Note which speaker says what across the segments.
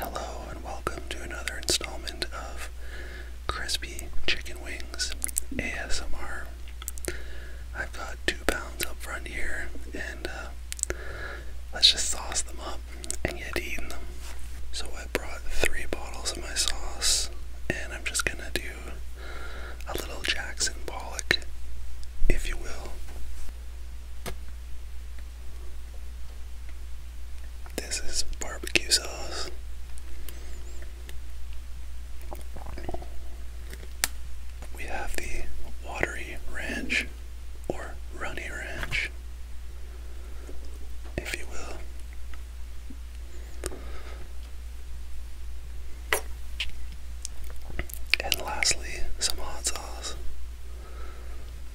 Speaker 1: Hello and welcome to another installment of Crispy Chicken Wings ASMR. I've got two pounds up front here, and uh, let's just sauce them up and get eating them. So, I brought three bottles of my sauce, and I'm just gonna do a little Jackson Pollock, if you will. This is barbecue sauce. We have the watery ranch or runny ranch, if you will. And lastly, some hot sauce.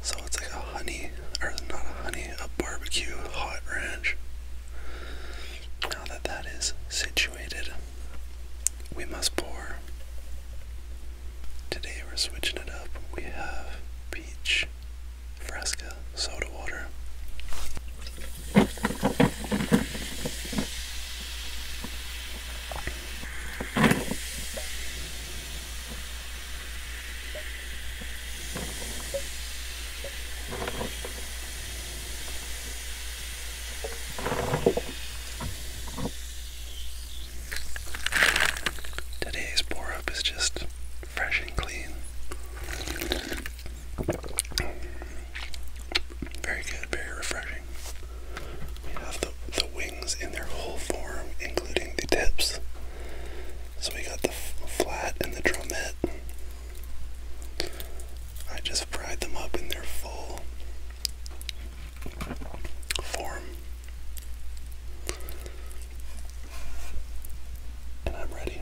Speaker 1: So it's like a honey, or not a honey, a barbecue hot ranch. Now that that is situated, we must pour. Today we're switching it up. We have peach frasca, soda water. Today's pour up is just fresh and clean. Very good, very refreshing. We have the, the wings in their whole form, including the tips. So we got the flat and the drumette. I just fried them up in their full form. And I'm ready.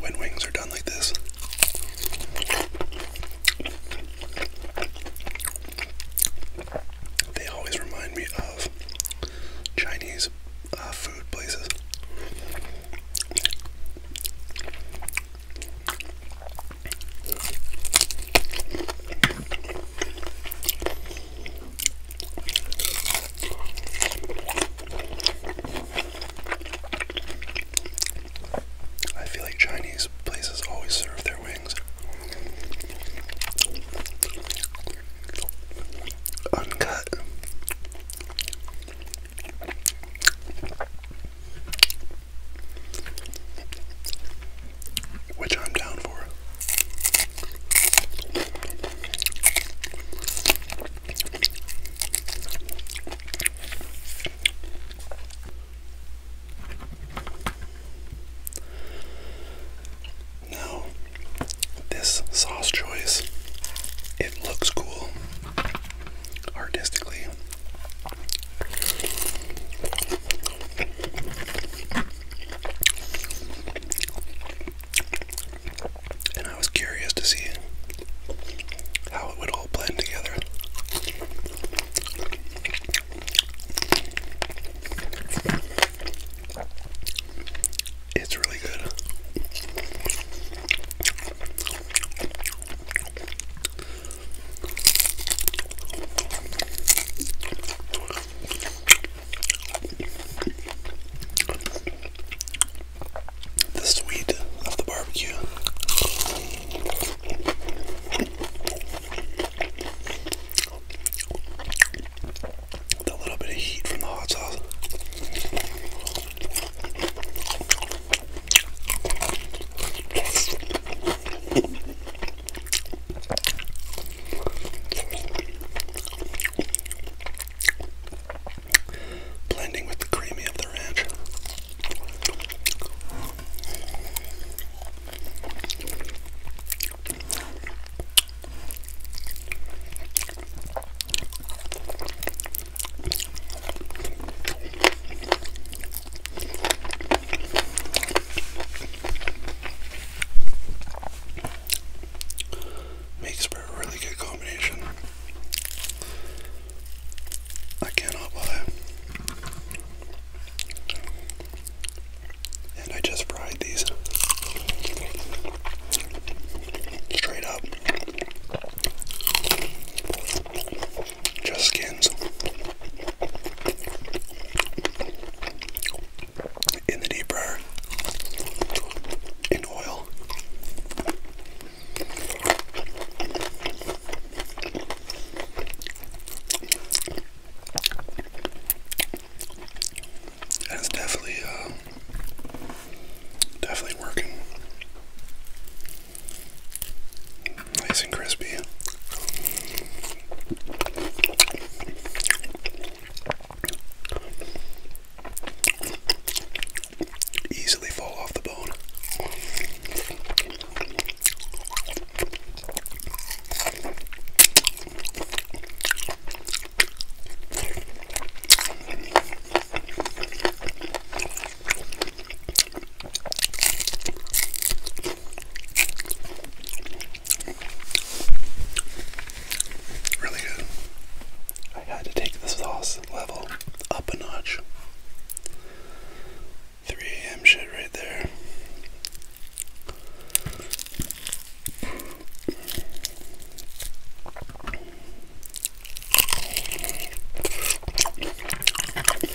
Speaker 1: When wings are done like this, they always remind me of Chinese uh, food places. I feel like Chinese places always serve their wings uncut. Which I'm down for. Now, this sauce choice, it looks cool artistically. And I was curious to see how it would all blend together. It's really good. The sweet of the barbecue. The little bit of heat from the hot sauce. Blending with the creamy of the ranch. Makes for a really good combination. I cannot lie. And I just fried these straight up just skins. In the deep fryer, in oil. And definitely, uh, definitely working. Nice and crispy. Easily fall off the bone. Really good. I had to take the sauce level up a notch. 3 a.m. shit right there.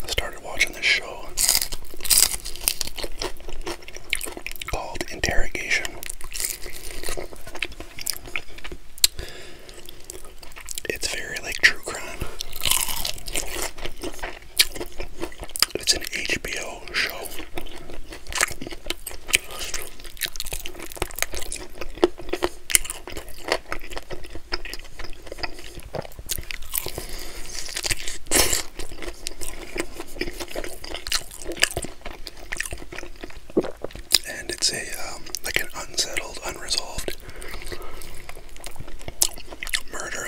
Speaker 1: I started watching this show called Interrogation. It's very like true crime. It's an HBO show. And it's a um, like an unsettled, unresolved murder.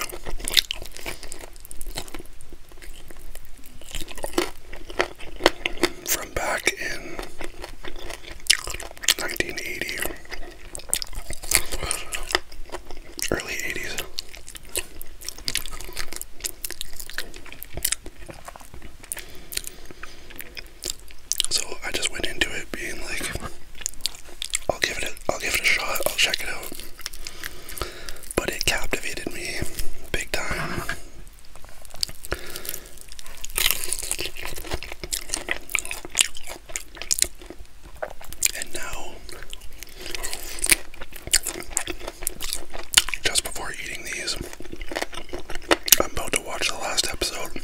Speaker 1: From back in 1980, early 80s. So I just went into it being like I'll give it a, I'll give it a shot, I'll check it out. But it captivated me big time. And now, just before eating these, I'm about to watch the last episode.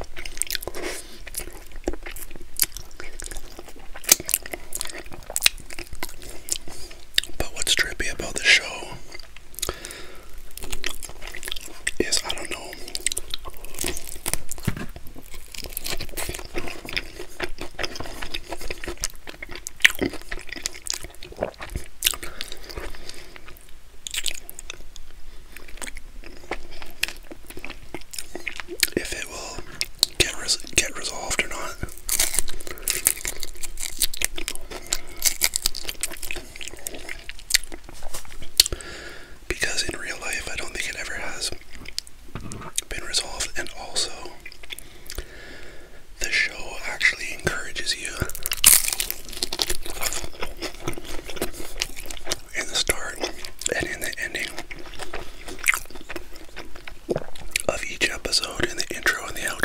Speaker 1: But what's trippy about the show is I don't know. If it will get get resolved or not because in real life I don't think it ever has been resolved, and also the show actually encourages you in the start and in the ending of each episode, in the intro and the outro.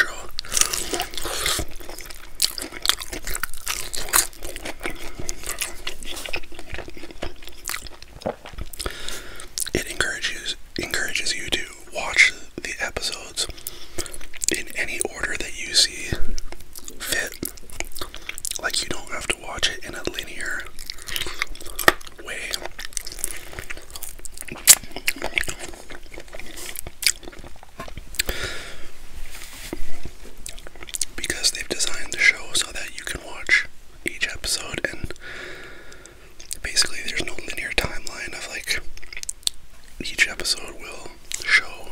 Speaker 1: It encourages encourages you to watch the episodes in any order that you see fit. Like you don't have to watch it in a linear way. Because they've designed the show so that you can watch each episode, and basically there's no linear timeline of like each episode will show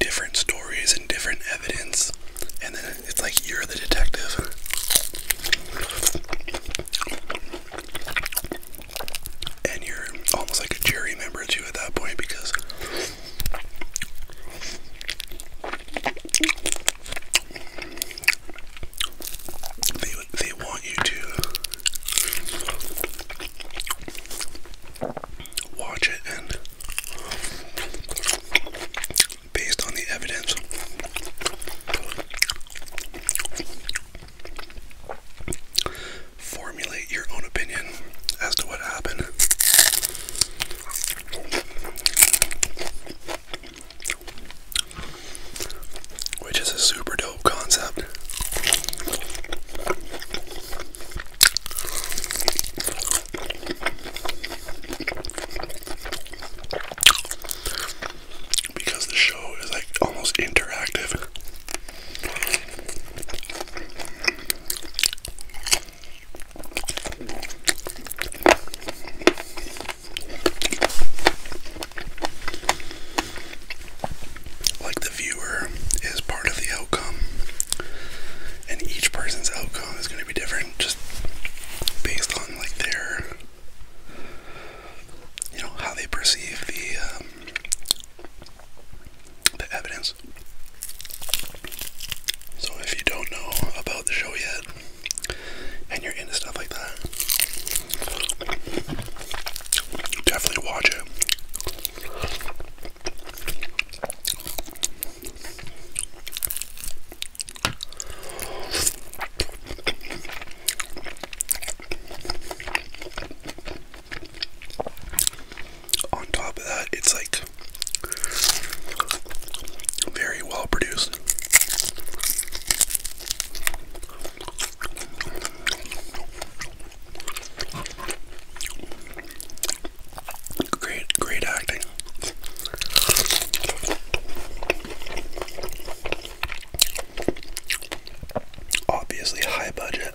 Speaker 1: different stories and different evidence, and then it's like you're the detective. And you're almost like a jury member too at that point because they they want you to watch it and based on the evidence formulate your own opinion as to what happened which is a super dope concept. Because the show is like almost interactive. Like the viewer is part of the outcome, and each person's outcome is going to be different just based on like their you know how they perceive the um, the evidence so if you don't know about the show yet, and you're into stuff like that, definitely watch it. On top of that, it's like very well produced. Great, great acting. Obviously, high budget.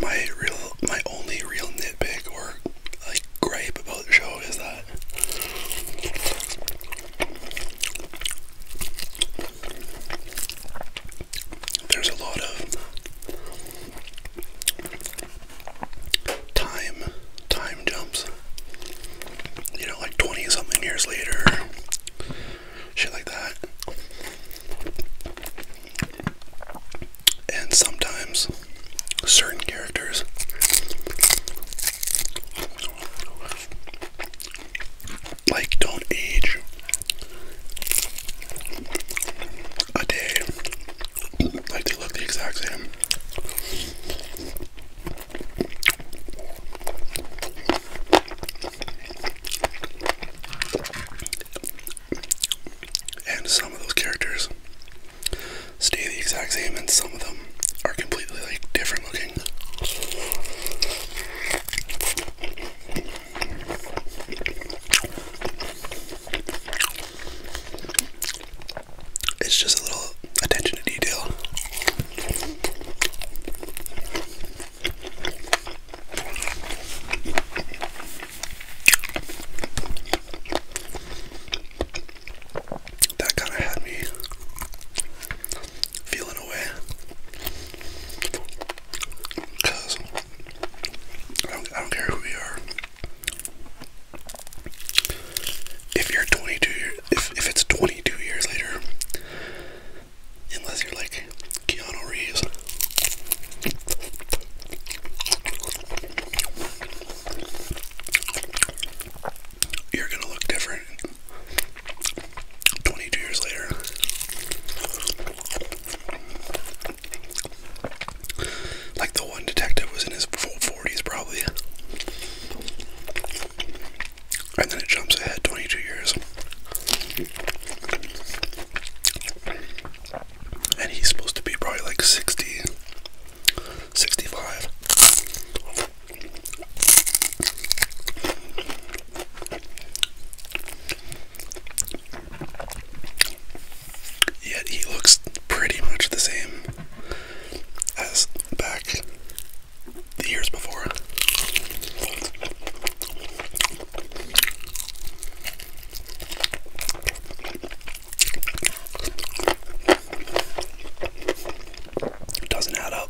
Speaker 1: My real, my only real nitpick or like gripe about the show is that there's a lot of time, time jumps. You know, like twenty something years later shit like that. And sometimes certain characters like don't age a day. Like they look the exact same. And some of those characters stay the exact same, and some of them are completely like different looking. It's just a little attention to detail. That kind of had me feeling away because I don't care who you are. If you're 22, if if it's 22 years later, unless you're like Keanu Reeves. You're gonna look different 22 years later. Like the one detective was in his full 40s, probably and then it jumps ahead 22 years. And he's supposed to be probably like 60, 65. Yet he looks pretty much the same as back the years before. It doesn't add up.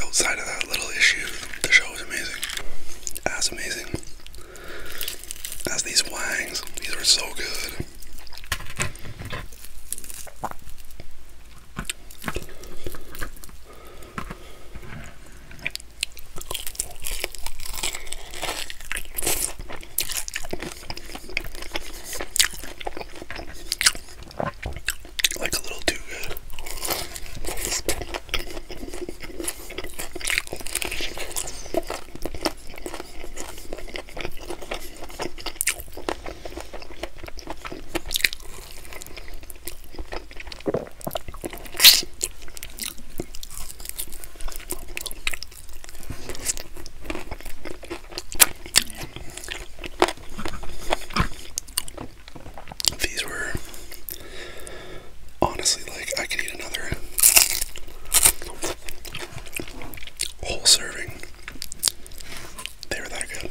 Speaker 1: Outside of that little issue, the show was amazing. As amazing as these wangs, these were so good. Like a little too good. These were honestly like I could eat another whole serving. They were that good.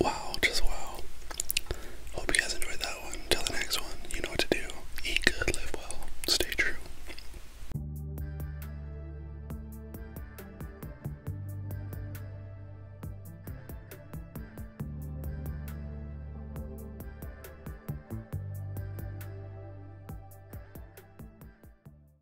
Speaker 1: Wow, just wow. Hope you guys enjoyed that one. Till the next one, you know what to do. Eat good, live well, stay true.